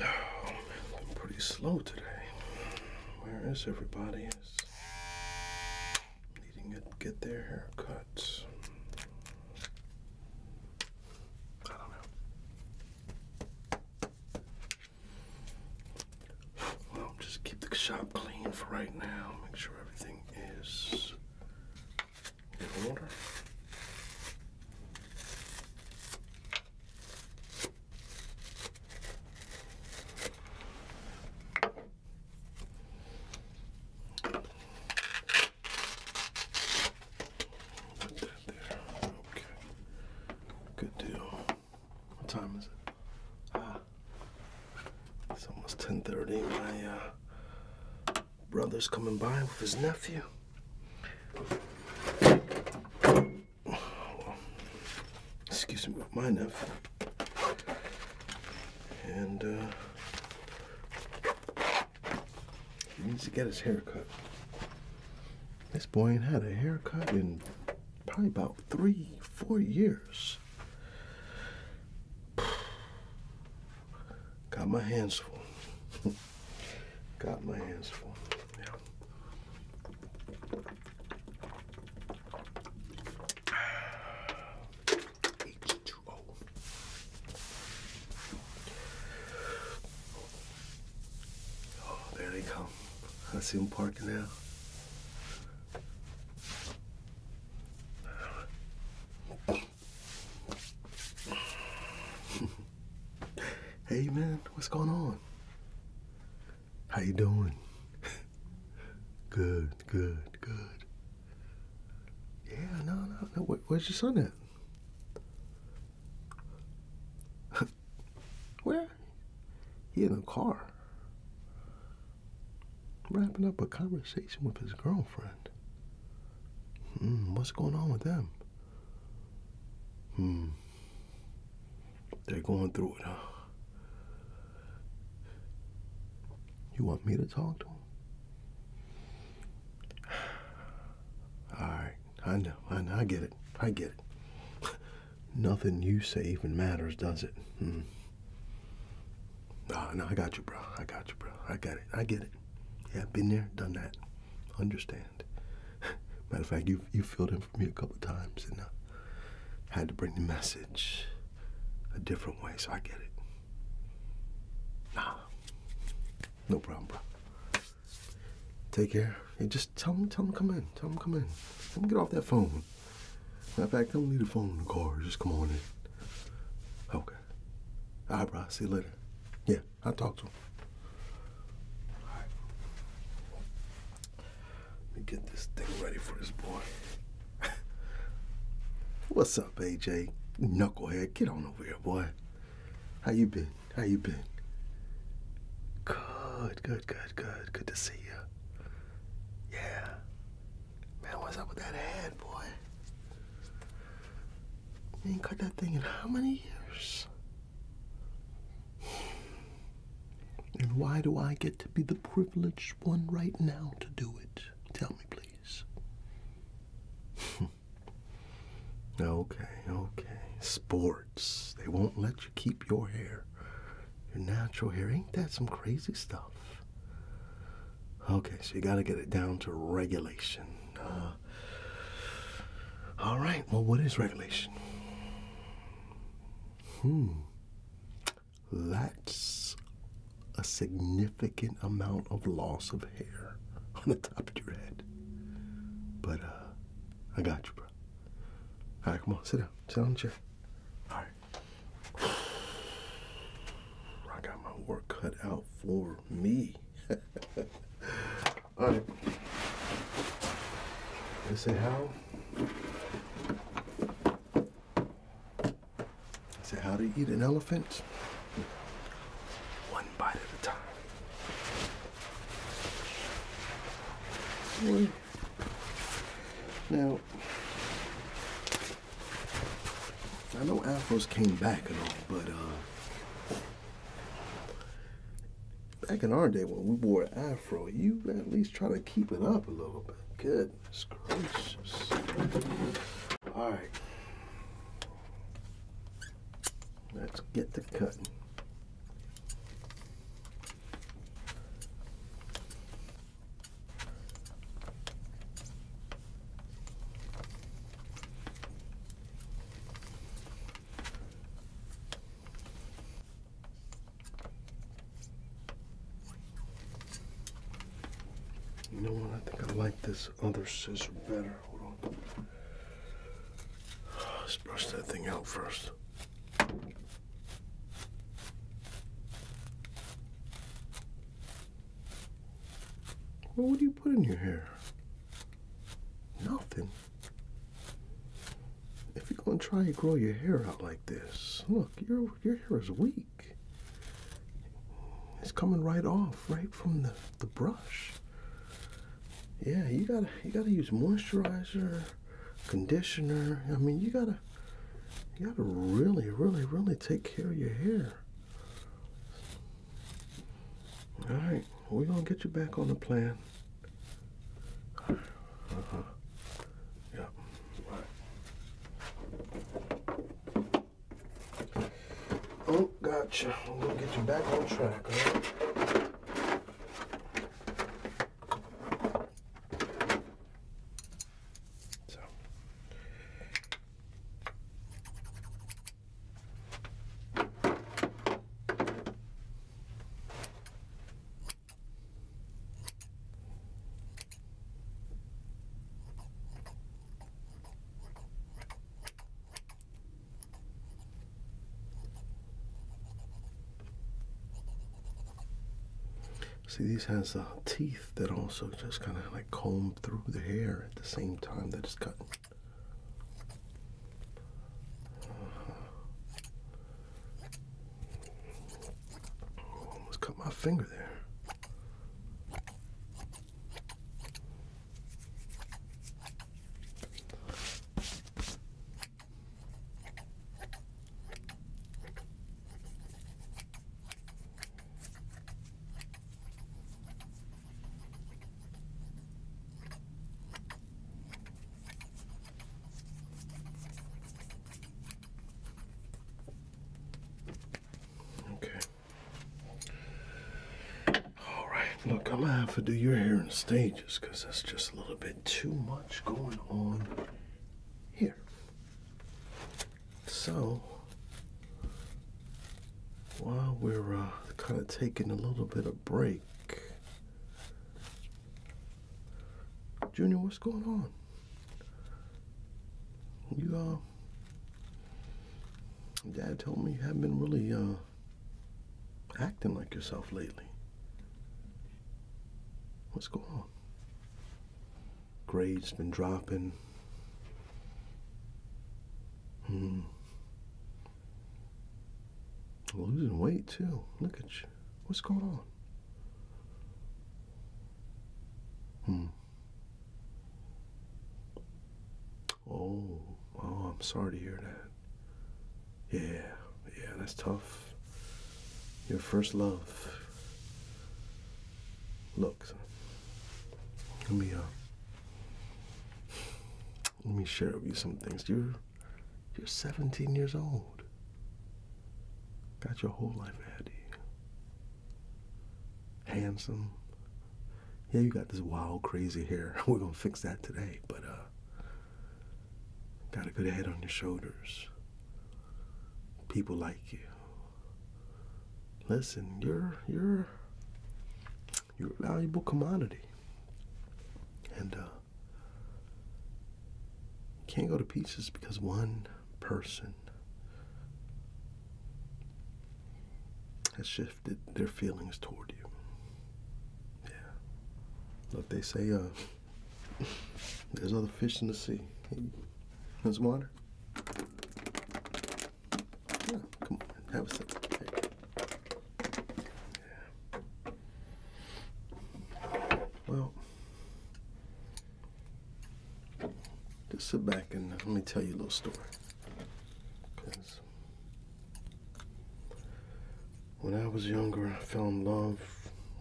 Oh, I'm pretty slow today. Where is everybody? Is needing to get their hair cut. Well, just keep the shop clean for right now. Make sure everything is in order. Put that there. Okay. Good deal. What time is it? Ah. it's almost 10:30. My uh, brother's coming by with his nephew. excuse me, my nephew. And uh, he needs to get his haircut. This boy ain't had a haircut in probably about three, four years. Got my hands full. Got my hands full. Yeah. Oh, there they come. I see him parking now. hey man, what's going on? How you doing? good, good, good. Yeah, no, no, no. Where, where's your son at? Where? He in a car. Wrapping up a conversation with his girlfriend. Mm, what's going on with them? Hmm. They're going through it, huh? You want me to talk to him? All right, I know, I know, I get it, I get it. Nothing you say even matters, does it? Mm. No, no, I got you, bro. I got you, bro. I got it. I get it. Yeah, been there, done that. Understand. Matter of fact, you you filled in for me a couple of times, and I uh, had to bring the message a different way, so I get it. Nah. No problem, bro. Take care. Hey, just tell him, tell him come in. Tell him come in. Let them get off that phone. Matter of fact, don't need a phone in the car. Just come on in. Okay. All right, bro. See you later. Yeah, I'll talk to him. All right. Let me get this thing ready for this boy. What's up? up, AJ? Knucklehead, get on over here, boy. How you been? How you been? Good, good, good, good. Good to see you. Yeah. Man, what's up with that head, boy? You ain't cut that thing in how many years? And why do I get to be the privileged one right now to do it? Tell me, please. Okay, okay. Sports. They won't let you keep your hair. Your natural hair. Ain't that some crazy stuff? Okay, so you got to get it down to regulation. Uh, all right, well, what is regulation? Hmm. That's a significant amount of loss of hair on the top of your head. But uh, I got you, bro. All right, come on, sit down, sit down, chair. All right. I got my work cut out for me. All right. Let's say how. I said, how to eat an elephant? One bite at a time. One. Now, I know afros came back and all, but uh, back in our day when we wore afro, you at least try to keep it up a little bit. Good Goodness gracious. All right. Let's get to cutting. You know what? I think I like this other scissor better. Hold on. Let's brush that thing out first. What would you put in your hair? Nothing. If you're gonna try and grow your hair out like this, look, your your hair is weak. It's coming right off, right from the, the brush. Yeah, you gotta you gotta use moisturizer, conditioner. I mean you gotta you gotta really, really, really take care of your hair. Alright, we're gonna get you back on the plan. Uh huh. Yep. Oh, gotcha. I'm going to get you back on track, So. See, these has uh, teeth that also just kind of like comb through the hair at the same time that it's cut. Oh, almost cut my finger there. Okay. All right. Look, I'm gonna have to do your hair in stages because that's just a little bit too much going on here. So while we're uh, kind of taking a little bit of break, Junior, what's going on? You, uh, Dad told me you haven't been really, uh, acting like yourself lately. What's going on? Grades been dropping. Hmm. Losing weight too. Look at you. What's going on? Hmm. Oh, oh, I'm sorry to hear that. Yeah, yeah, that's tough. Your first love. Looks. let me uh, let me share with you some things. You're you're 17 years old. Got your whole life ahead of you handsome. Yeah, you got this wild, crazy hair. We're gonna fix that today, but uh, got a good head on your shoulders. People like you. Listen, you're you're you're a valuable commodity, and uh, you can't go to pieces because one person has shifted their feelings toward you. Yeah. but they say uh, there's other fish in the sea. Hey, there's water. come on, have a sip. Well, just sit back and let me tell you a little story. Because when I was younger, I fell in love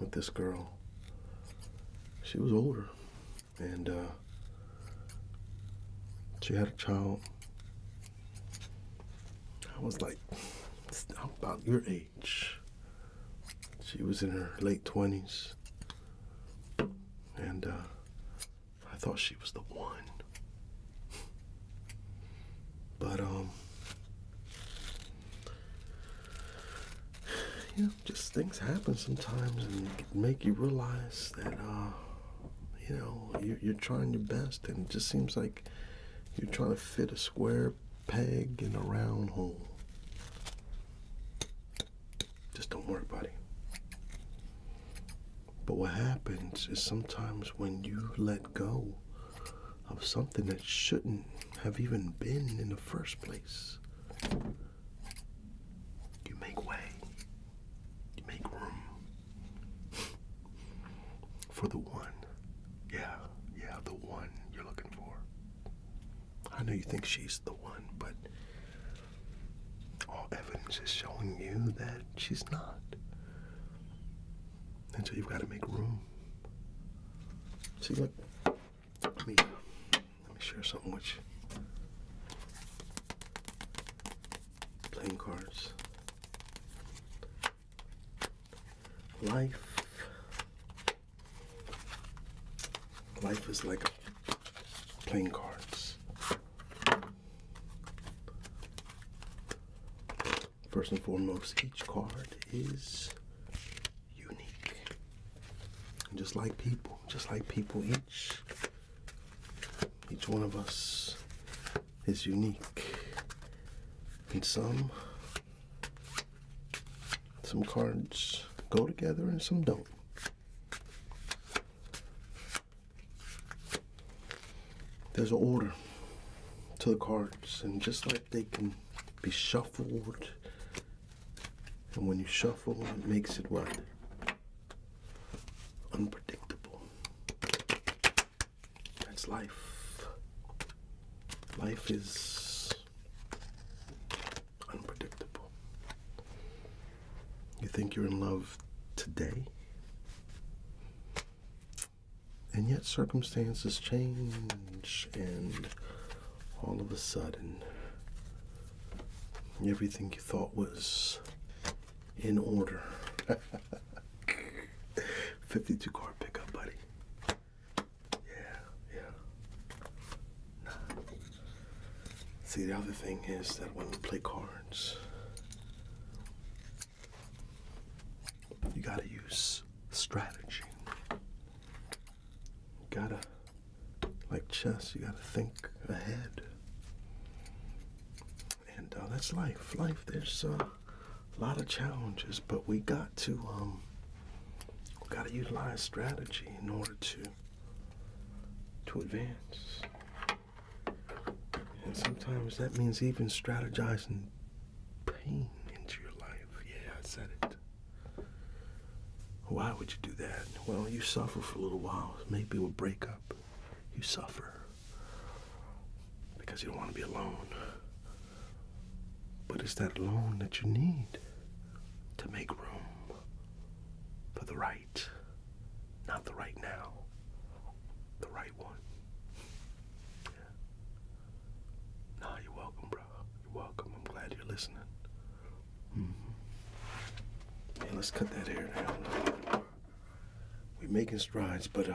with this girl. She was older, and uh, she had a child. I was like, about your age. She was in her late 20s. And uh, I thought she was the one. But, um, you just things happen sometimes and make you realize that, uh, you know, you're trying your best and it just seems like you're trying to fit a square peg in a round hole. Just don't worry buddy. But what happens is sometimes when you let go of something that shouldn't have even been in the first place, you make way, you make room for the one. Yeah, yeah, the one you're looking for. I know you think she's the one, but all evidence is showing you that she's not. And so you've got to make room. See, look, let me, let me share something with you. Playing cards. Life Life is like playing cards. First and foremost, each card is unique. just like people, just like people, each each one of us is unique. And some some cards go together and some don't. There's an order to the cards, and just like they can be shuffled, and when you shuffle, it makes it what? Unpredictable. That's life. Life is Unpredictable. You think you're in love today? And yet circumstances change, and all of a sudden, everything you thought was in order. 52 car pickup, buddy. Yeah, yeah. See, the other thing is that when we play cards, you gotta use strategy. You gotta, like chess, you gotta think ahead. And uh, that's life. Life, there's uh, a lot of challenges, but we got to um, got to utilize strategy in order to to advance. And sometimes that means even strategizing pain into your life. Yeah, I said it. Why would you do that? Well, you suffer for a little while. Maybe we'll break up. You suffer because you don't want to be alone. But it's that loan that you need to make room for the right, not the right now, the right one. Nah, you're welcome, bro. You're welcome. I'm glad you're listening. Mm-hmm. let's cut that hair down. We're making strides, but uh,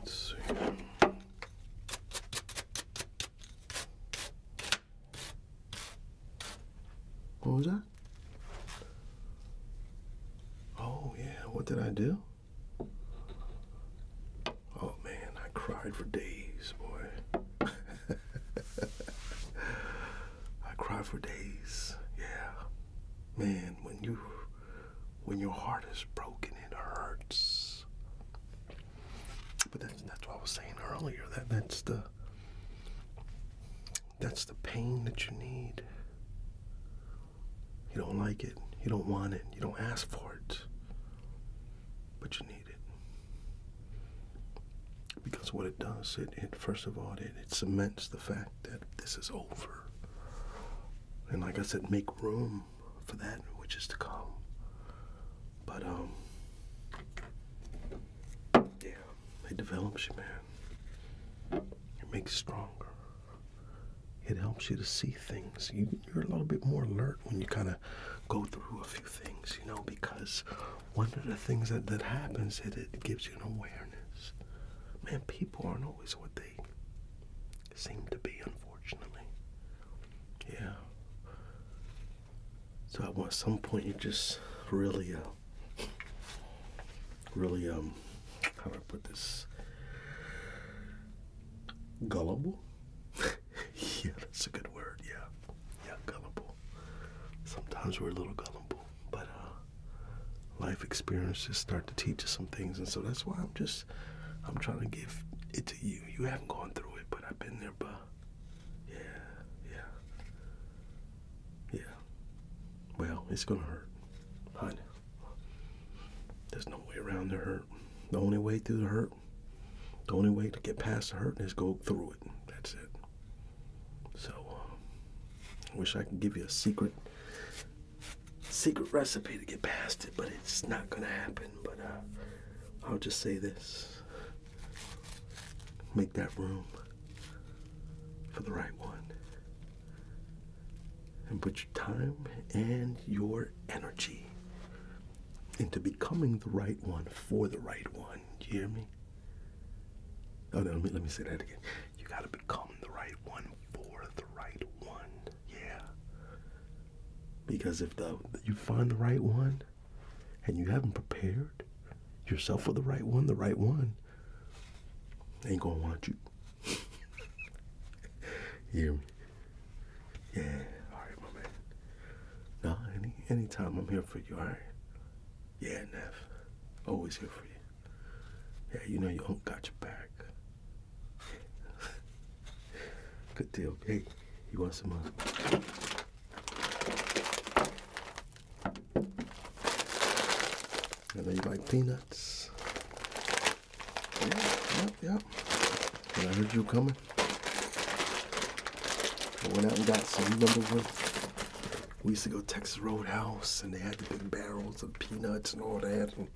Let's see. What was that? Oh, yeah, what did I do? Oh man, I cried for days, boy. I cry for days. Yeah, man, when you when your heart is broken, it hurts. But that's that's what I was saying earlier. That that's the that's the pain that you need. You don't like it. You don't want it. You don't ask for it. But you need it. Because what it does, it, first of all, it, cements the fact that this is over. And like I said, make room for that which is to come. But, um, yeah, it develops you, man. It makes you stronger. It helps you to see things. You, you're a little bit more alert when you kind of go through a few things, you know, because one of the things that, that happens is it gives you an awareness. Man, people aren't always what they seem to be, unfortunately. Yeah. So at some point, you just really, uh, really, um, how do I put this? Gullible? yeah, that's a good word. Yeah. Yeah, gullible. Sometimes we're a little gullible, but uh, life experiences start to teach us some things, and so that's why I'm just I'm trying to give it to you. You haven't gone through it, but I've been there, but yeah, yeah, yeah. Well, it's gonna hurt, honey. There's no way around the hurt. The only way through the hurt, the only way to get past the hurt is go through it. That's it. So, I um, wish I could give you a secret, secret recipe to get past it, but it's not gonna happen. But uh, I'll just say this: make that room for the right one, and put your time and your energy into becoming the right one for the right one. Do you hear me? Oh, no, let me, let me say that again. You got to become the right one for the right one. Yeah. Because if the, you find the right one and you haven't prepared yourself for the right one, the right one ain't going to want you. hear me? Yeah. All right, my man. No, any time I'm here for you. All right. Yeah, Neff. Always here for you. Yeah, you know your uncle got your back. Good deal. Hey, you want some more? Uh, I know you like peanuts. Yeah, yep, I heard you coming one. I went out and got some. number one. we used to go to Texas Roadhouse and they had the big barrels of peanuts and all that, and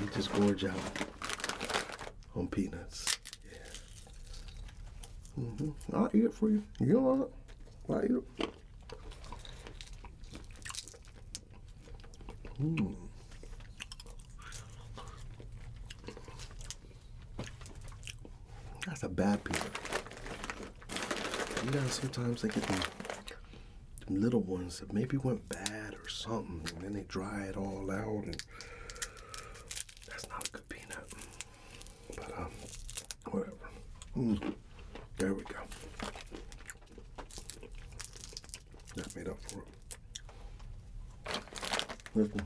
we just gorge out on peanuts. Yeah. Mm-hmm. I'll eat it for you. You don't want it? I'll eat it. Mmm. That's a bad peanut. You know, sometimes they get the little ones that maybe went bad or something, and then they dry it all out, and that's not a good peanut. But um, whatever. Mm. There we go. That made up for it. Listen,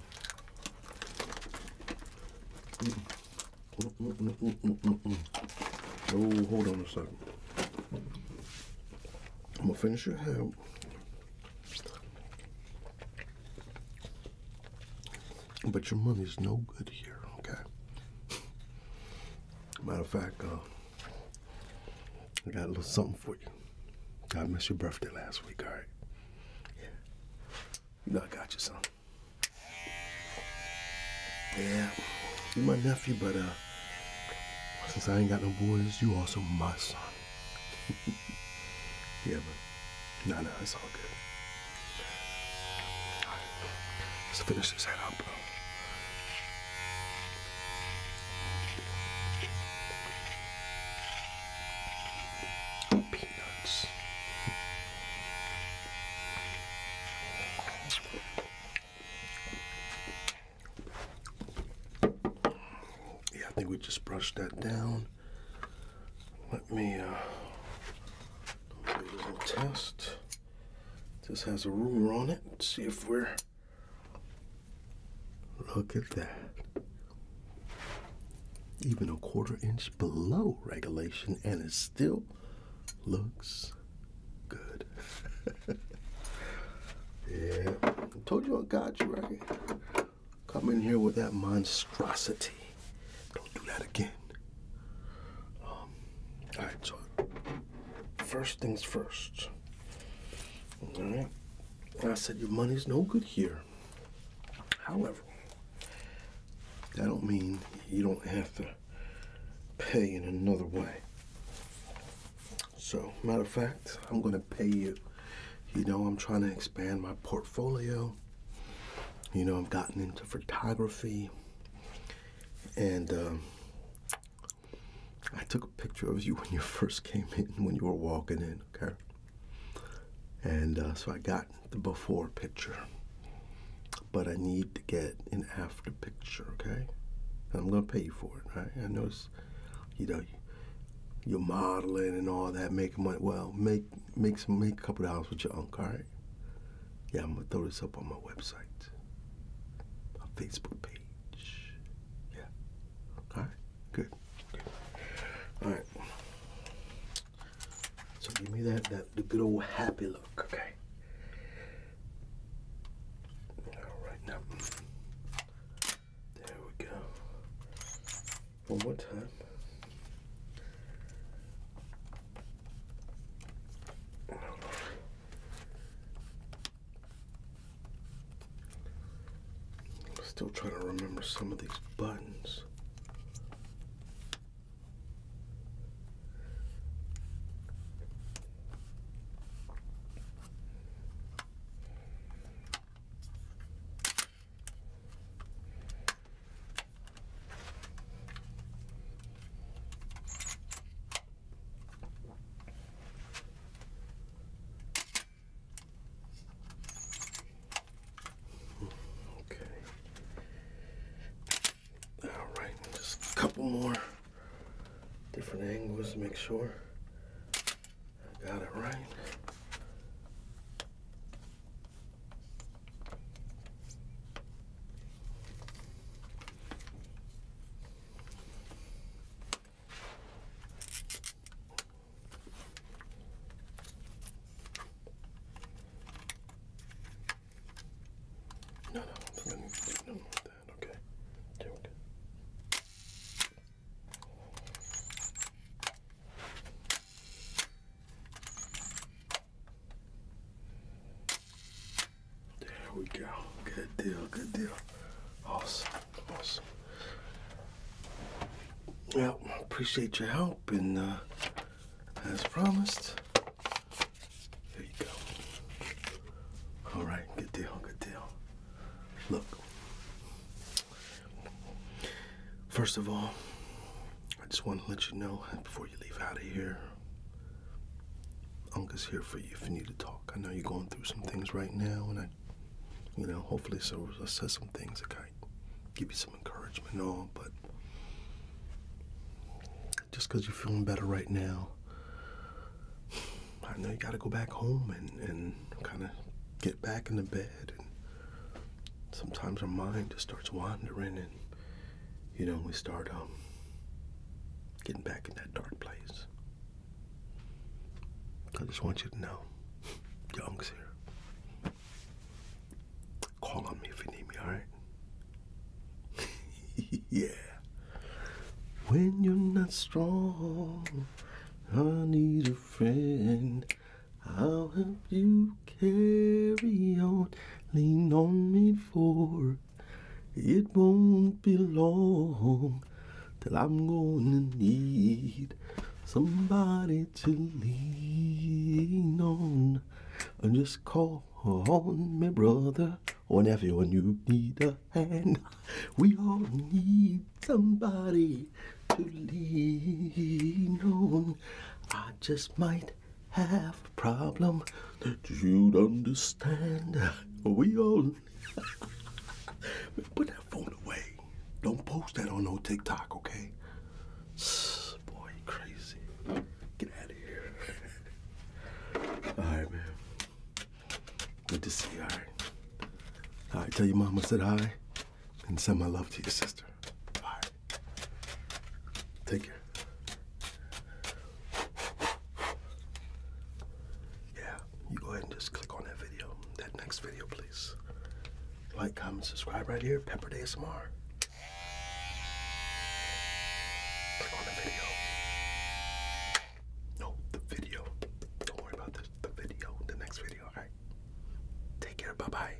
oh, hold on a second. I'm gonna finish your head. But your money's no good here, okay? Matter of fact, uh, I got a little something for you. I missed your birthday last week, all right? Yeah. You know I got you, son. Yeah, you are my nephew, but uh, since I ain't got no boys, you also my son. yeah, but no, no, it's all good. right, let's finish this head up, yeah, I think we just brushed that down. Let me uh, do a little test. This has a ruler on it. Let's see if we're. Look at that even a quarter inch below regulation, and it still looks good. yeah, I told you I got you right. Come in here with that monstrosity. Don't do that again. Um, all right, so first things first. All right, I said your money's no good here. However, that don't mean you don't have to pay in another way. So, matter of fact, I'm going to pay you. You know, I'm trying to expand my portfolio. You know, I've gotten into photography. And um, I took a picture of you when you first came in, when you were walking in, okay? And uh, so I got the before picture, but I need to get an after picture, okay? And I'm gonna pay you for it, right? I notice, you know, you're modeling and all that, making money. Well, make make some make a couple dollars with your uncle, all right? Yeah, I'm gonna throw this up on my website, my Facebook page. Yeah, all right, good. good. All right. So give me that that the good old happy look, okay? All right, now there we go. One more time. I'm still trying to remember some of these buttons. Okay. All right, just a couple more different angles to make sure I got it right. No, no, I do that. Okay. Yeah, okay. There we go. Good deal, good deal. Awesome, awesome. Well, appreciate your help, and uh, as promised, there you go. All right, good deal, good deal. Look, first of all, I just want to let you know before you leave out of here, Uncle's here for you if you need to talk. I know you're going through some things right now, and I, you know, hopefully, so I said some things that kind of give you some encouragement all. But just because you're feeling better right now, I know you got to go back home and and kind of get back in the bed. And sometimes our mind just starts wandering, and you know, we start um getting back in that dark place. I just want you to know, Young's here. Call on me if you need me, alright? yeah. When you're not strong, I need a friend. I'll help you carry on. Lean on me for it won't be long till I'm gonna need somebody to lean on. And just call on my brother, or nephew, you need a hand. We all need somebody to lean on. I just might have a problem that you'd understand. We all put that phone away. Don't post that on no TikTok, okay? Boy, crazy. Get out of here. Alright, man. Good to see you, alright? tell your mama said hi and send my love to your sister. Alright. Take care yeah, you go ahead and just click on that video, that next video, please. Like, comment, subscribe right here, Pepper Day ASMR. Click on the video. No, the video. Don't worry about this. The video, the next video, alright? Take care, bye bye.